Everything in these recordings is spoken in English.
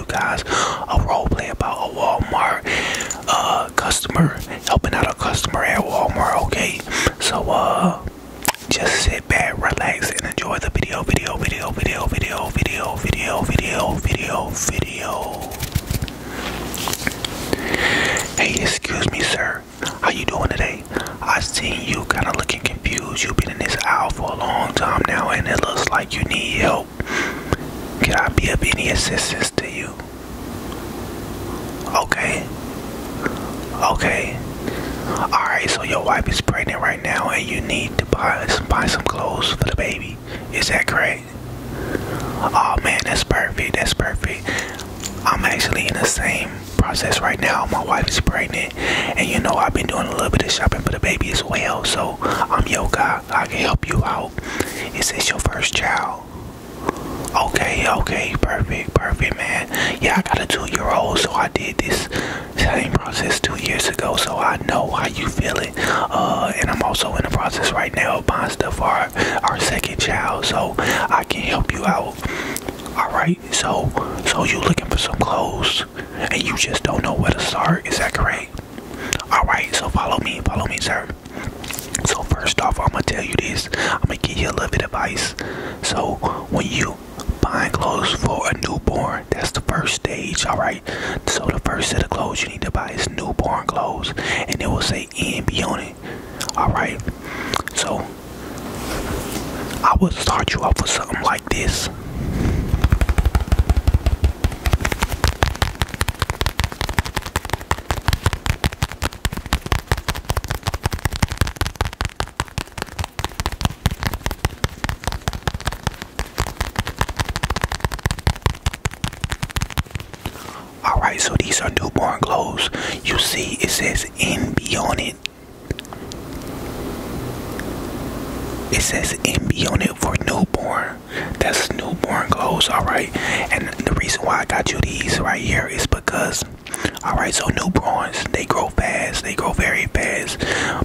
you guys a role play about a Walmart uh, customer helping out a customer at Walmart. Okay, so uh, just sit back, relax, and enjoy the video, video, video, video, video, video, video, video, video, video. Hey, excuse me, sir. How you doing today? I seen you kind of looking confused. You've been in this aisle for a long time now, and it looks like you need help. Can I be of any assistance to you? Okay. Okay. Alright, so your wife is pregnant right now and you need to buy, some clothes for the baby. Is that correct? Oh man, that's perfect. That's perfect. I'm actually in the same process right now. My wife is pregnant, and you know I've been doing a little bit of shopping for the baby as well. So I'm um, yo, I can help you out. Is this your first child? Okay, okay, perfect, perfect, man. Yeah, I got a two-year-old, so I did this same process two years ago, so I know how you feel it. Uh, and I'm also in the process right now buying stuff for our, our second child, so I can help you out. All right, so so you looking for some clothes? and you just don't know where to start. Is that correct? Alright, so follow me, follow me, sir. So first off, I'm gonna tell you this. I'm gonna give you a little bit of advice. So when you buying clothes for a newborn, that's the first stage, alright? So the first set of clothes you need to buy is newborn clothes and it will say NB on it. Alright. So I will start you off with something like this. Alright, so these are newborn clothes. You see, it says NB on it. It says NB on it for newborn. That's newborn clothes, alright? And the reason why I got you these right here is because alright, so newborns they grow fast, they grow very fast.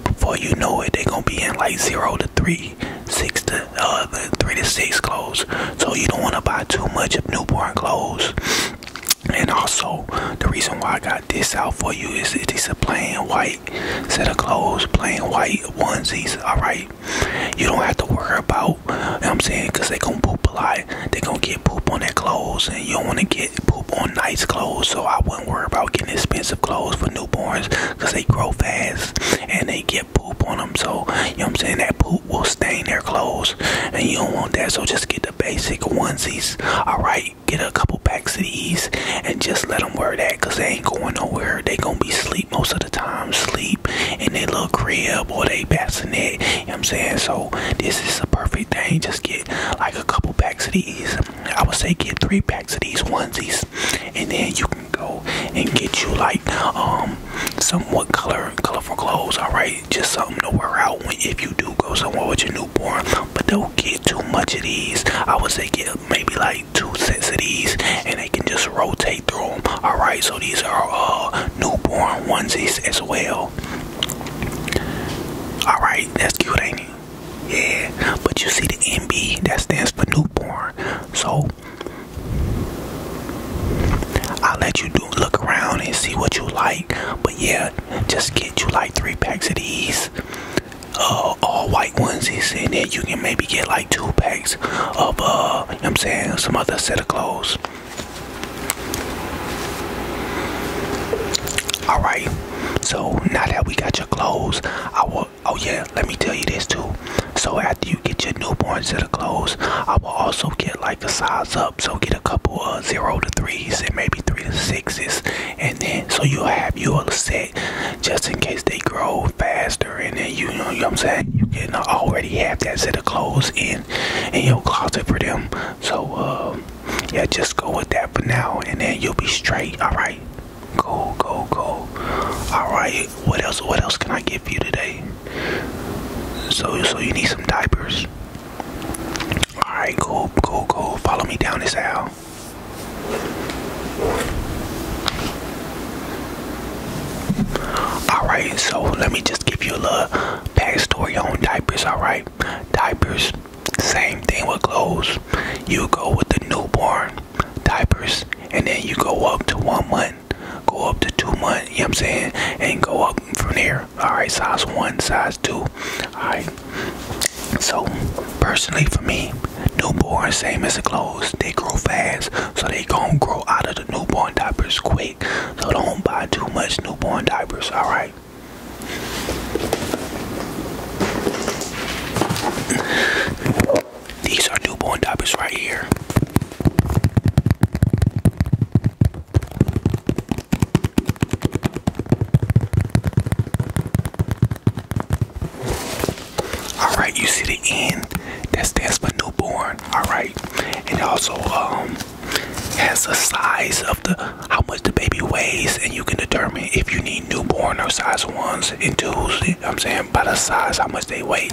Before you know it, they gonna be in like zero to three, six to uh three to six clothes. So you don't wanna buy too much of newborn clothes. And also, the reason why I got this out for you is it's a plain white set of clothes, plain white onesies, alright? You don't have to worry about, you know I'm 'cause they going to poop a lot. they going to get poop on their clothes, and you don't want to get poop on nice clothes. So I wouldn't worry about getting expensive clothes for newborns, 'cause they grow fast and they get poop on them. So, you know what I'm saying? That poop will stain their clothes, and you don't want that. So just get the basic onesies, alright? get a couple packs of these and just let them wear that because they ain't going nowhere. They gonna be sleep most of the time, sleep in their little crib or they bassinet. You know what I'm saying? So this is a perfect thing. Just get like a couple packs of these. I would say get three packs of these onesies and then you can go and get you like um somewhat color colorful clothes, alright? Just something to wear out when if you do go somewhere with your new newborn, but don't get too much of these. I would say get maybe like two sets of these, and they can just rotate through them. All right, so these are uh, newborn onesies as well. All right, that's cute, ain't it? Yeah, but you see the NB that stands for newborn, so. I'll let you do look around and see what you like. But yeah, just get you like three packs of these uh, all white onesies, in there. you can maybe get like two packs of uh, you know I'm saying some other set of clothes. All right, so now that we got your clothes, I will. Oh yeah, let me tell you this too. So after you get your newborn set of clothes, I will also get like a size up. So get a couple of zero to threes and maybe three to sixes, and then so you will have your set just in case they grow faster and then you, know, what I'm saying you can already have that set of clothes in in your closet for them so um, yeah just go with that for now and then you'll be straight all right go go go. all right what else what else can I get for you today so so you need some diapers Alright, go, go, go! Follow me down this aisle. Alright, so let me just give you a little backstory on diapers, alright? Diapers, same thing with clothes. You go with the newborn diapers, and then you go up to one month, go up to two months, you know what I'm saying? And go up from here all right size one size two all right so personally for me newborn same as the clothes they grow fast so they gonna grow out of the newborn diapers quick so don't buy too much newborn diapers all right these are newborn diapers right here all right, you see the end That's stands for newborn. All right, and also um has the size of the how much the baby weighs, and you can determine if you need newborn or size ones and twos. You know what I'm saying by the size how much they weigh.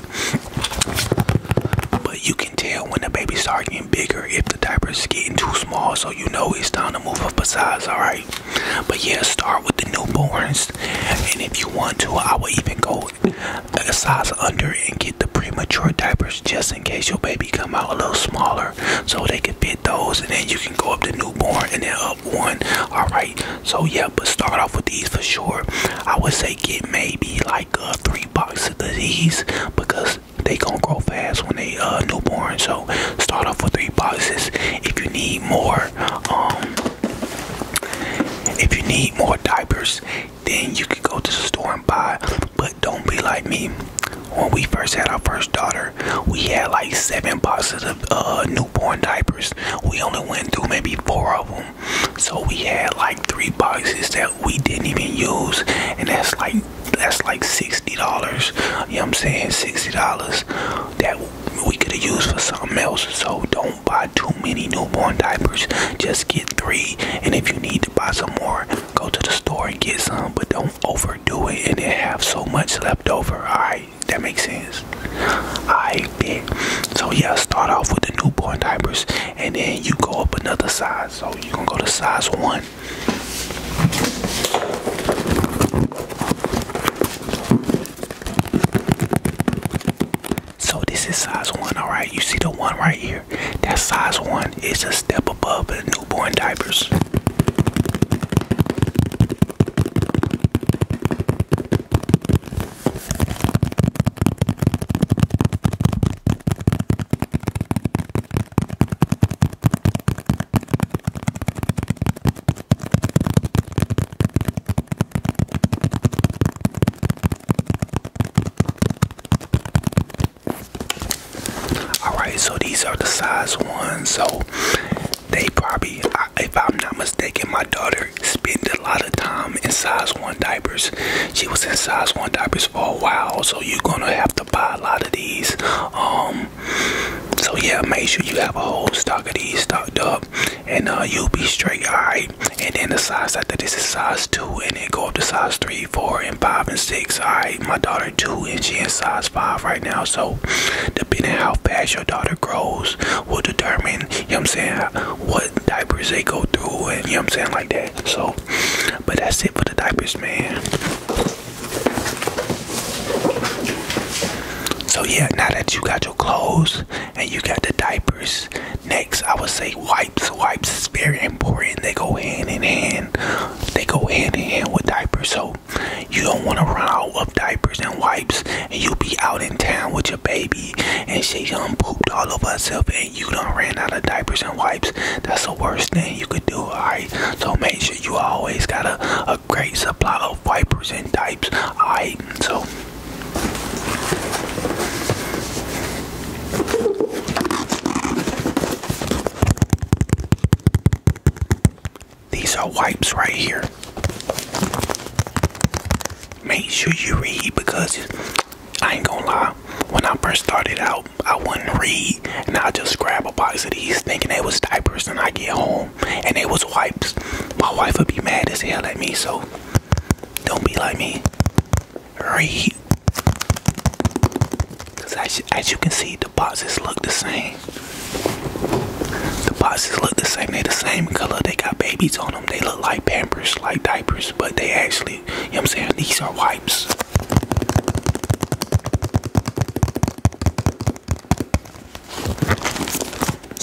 But you can tell when the baby start getting bigger if the diapers getting too small, so you know it's time to move up a size, alright? But yeah, start with the newborns, and if you want to, I would even go a size under and get the premature diapers just in case your baby come out a little smaller so they can fit those, and then you can go up to newborn and then up one, alright? So yeah, but start off with these for sure. I would say get maybe like a three box of these because they gonna grow fast when they uh newborn. So start off with three boxes. If you need more, um, if you need more diapers, then you can go to the store and buy. But don't be like me. When we first had our first daughter, we had like seven boxes of uh, newborn diapers. We only went through maybe four of them. So we had like three boxes that we didn't even use and that's like that's like sixty dollars you know what i'm saying sixty dollars that we could have used for something else so don't buy too many newborn diapers just get three and if you need to buy some more go to the store and get some but don't overdo it and then have so much left over all right that makes sense i bet so yeah start off with the newborn diapers and then you go up another size so you're gonna go to size one. So this is size one, alright? You see the one right here? That size one is a step above the newborn diapers. All right, so these are the size ones. So they probably, if I'm not mistaken, my daughter spend a lot of time in size one diapers. She was in size one diapers for a while, so you're gonna have to buy a lot of these. Um, so yeah, make sure you have a whole stock of these stocked up, and uh, you'll be straight, alright. And then the size after this is size two, and then go up to size three, four, and five, and six. Alright, my daughter two, and she's in size five right now. So depending how fast your daughter grows, will determine you know what I'm saying what diapers they go through and you know what I'm saying like that. So but that's it for the diapers man. So yeah, now that you got your clothes and you got the diapers, next I would say wipes. Wipes is very important. They go hand in hand. They go hand in hand with diapers. So you don't want to run out of diapers and wipes and you'll be out in town with your baby and she done pooped all over herself and you done ran out of diapers and wipes. That's the worst thing you could do, alright? So make sure you always got a, a great supply of wipers and diapers, alright? So. These are wipes right here make sure you read because I ain't gonna lie. When I first started out, I wouldn't read, and I just grab a box of these, thinking they was diapers. And I get home, and they was wipes. My wife would be mad as hell at me. So don't be like me. Read, cause as, as you can see, the boxes look the same. The boxes look the same. They the same color. They got babies on them. They look like pampers, like diapers, but they actually, you know what I'm saying, these are wipes.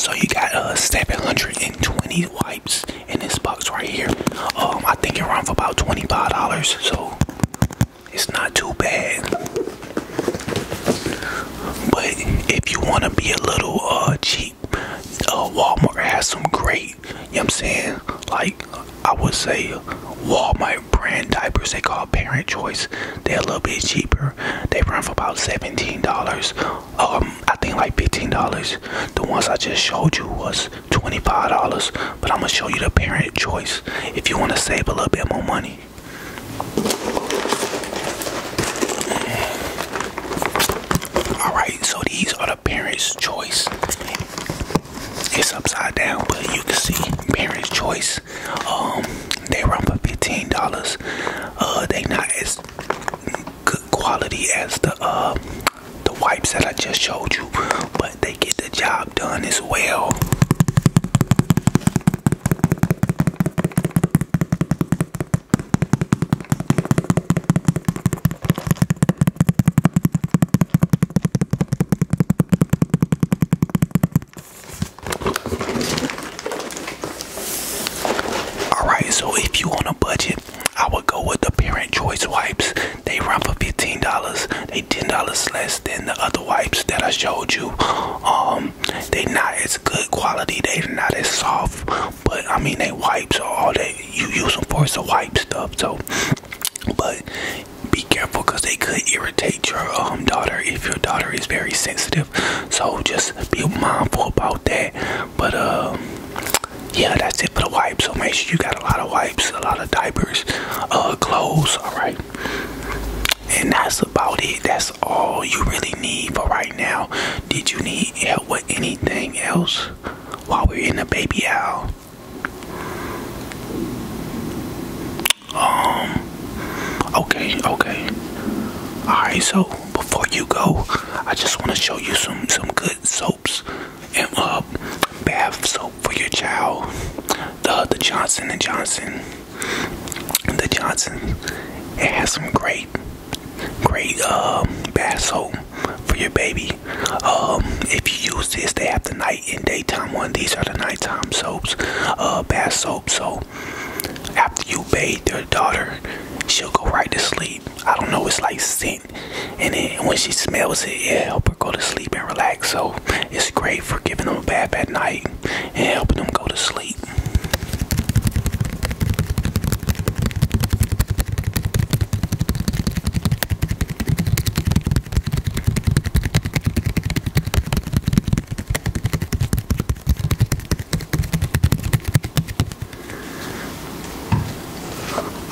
So you got a uh one hundred and twenty wipes in this box right here. Um I think it ran for about $25, so it's not too bad. But if you wanna be a little uh cheap uh, Walmart has some great, you know what I'm saying? Like I would say Walmart brand diapers, they call parent choice. They're a little bit cheaper. They run for about $17. Um I think like $15. The ones I just showed you was $25, but I'm gonna show you the parent choice if you wanna save a little bit more money. All right, so these are the parents' choice. It's upside down, but you can see parents' choice. Um, they run for fifteen dollars. Uh, they not as good quality as the uh, the wipes that I just showed you, but they get the job done as well. Alright, so if you on a budget, I would go with the Parent Choice wipes. They run for $15. They $10 less than the other wipes that I showed you. Um um they not as good quality, they are not as soft, but I mean they wipe. So all that you use them for is to wipe stuff. So, but be careful because they could irritate your um daughter if your daughter is very sensitive. So just be mindful about that. But um yeah, that's it for the wipes. So make sure you got a lot of wipes, a lot of diapers, uh, clothes. All right, and that's about it. That's all you really need for right now. Did you need help with anything else while we're in the baby aisle? Um, okay, okay. Alright, so before you go, I just want to show you some, some good soaps and uh, bath soap for your child. The, the Johnson & Johnson the Johnson's. It has some great, great um, bath soap for your baby. Um, if you use this, they have the night and daytime one. These are the nighttime soaps, uh, bath soap. So after you bathe your daughter, she'll go right to sleep. I don't know, it's like scent. And then when she smells it, it help her go to sleep and relax. So it's great for giving them a bath at night and helping them go to sleep.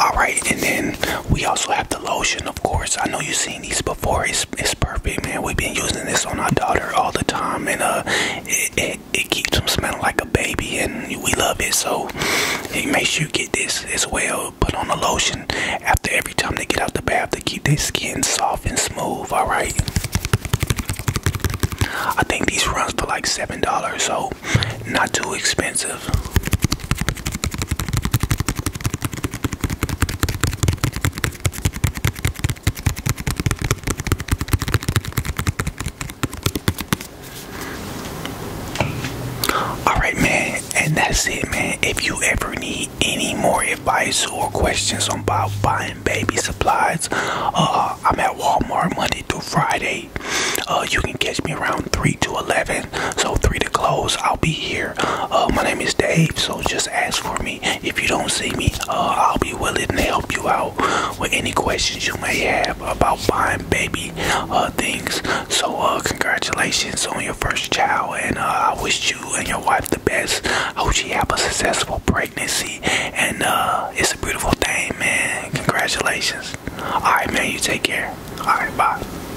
All right, and then we also have the lotion, of course. I know you've seen seen these before. It's it's perfect, man. We've been using this on our daughter all the time, and uh, it it, keeps them smelling like a baby, and we love it. So, hey, make sure you get this as well. Put on a lotion after every time they get out the bath to keep their skin soft and smooth. All right. I think these runs for like seven dollars, so not too expensive. Alright, man, and that's it, man. If you ever need any more advice or questions about buying baby supplies, uh, I'm at Walmart Monday through Friday. Uh, you can catch me around 3 to 11, so 3 to close. I'll be here. Uh, my name is Dave, so just ask for me. If you don't see me, uh, I'll be willing to help you out with any questions you may have about buying baby uh, things. So, uh, congratulations on your first child, and I wish you and your wife the best. I hope you have a successful pregnancy, and it's a beautiful thing, man. Congratulations. All right, man, you take care. All right, bye.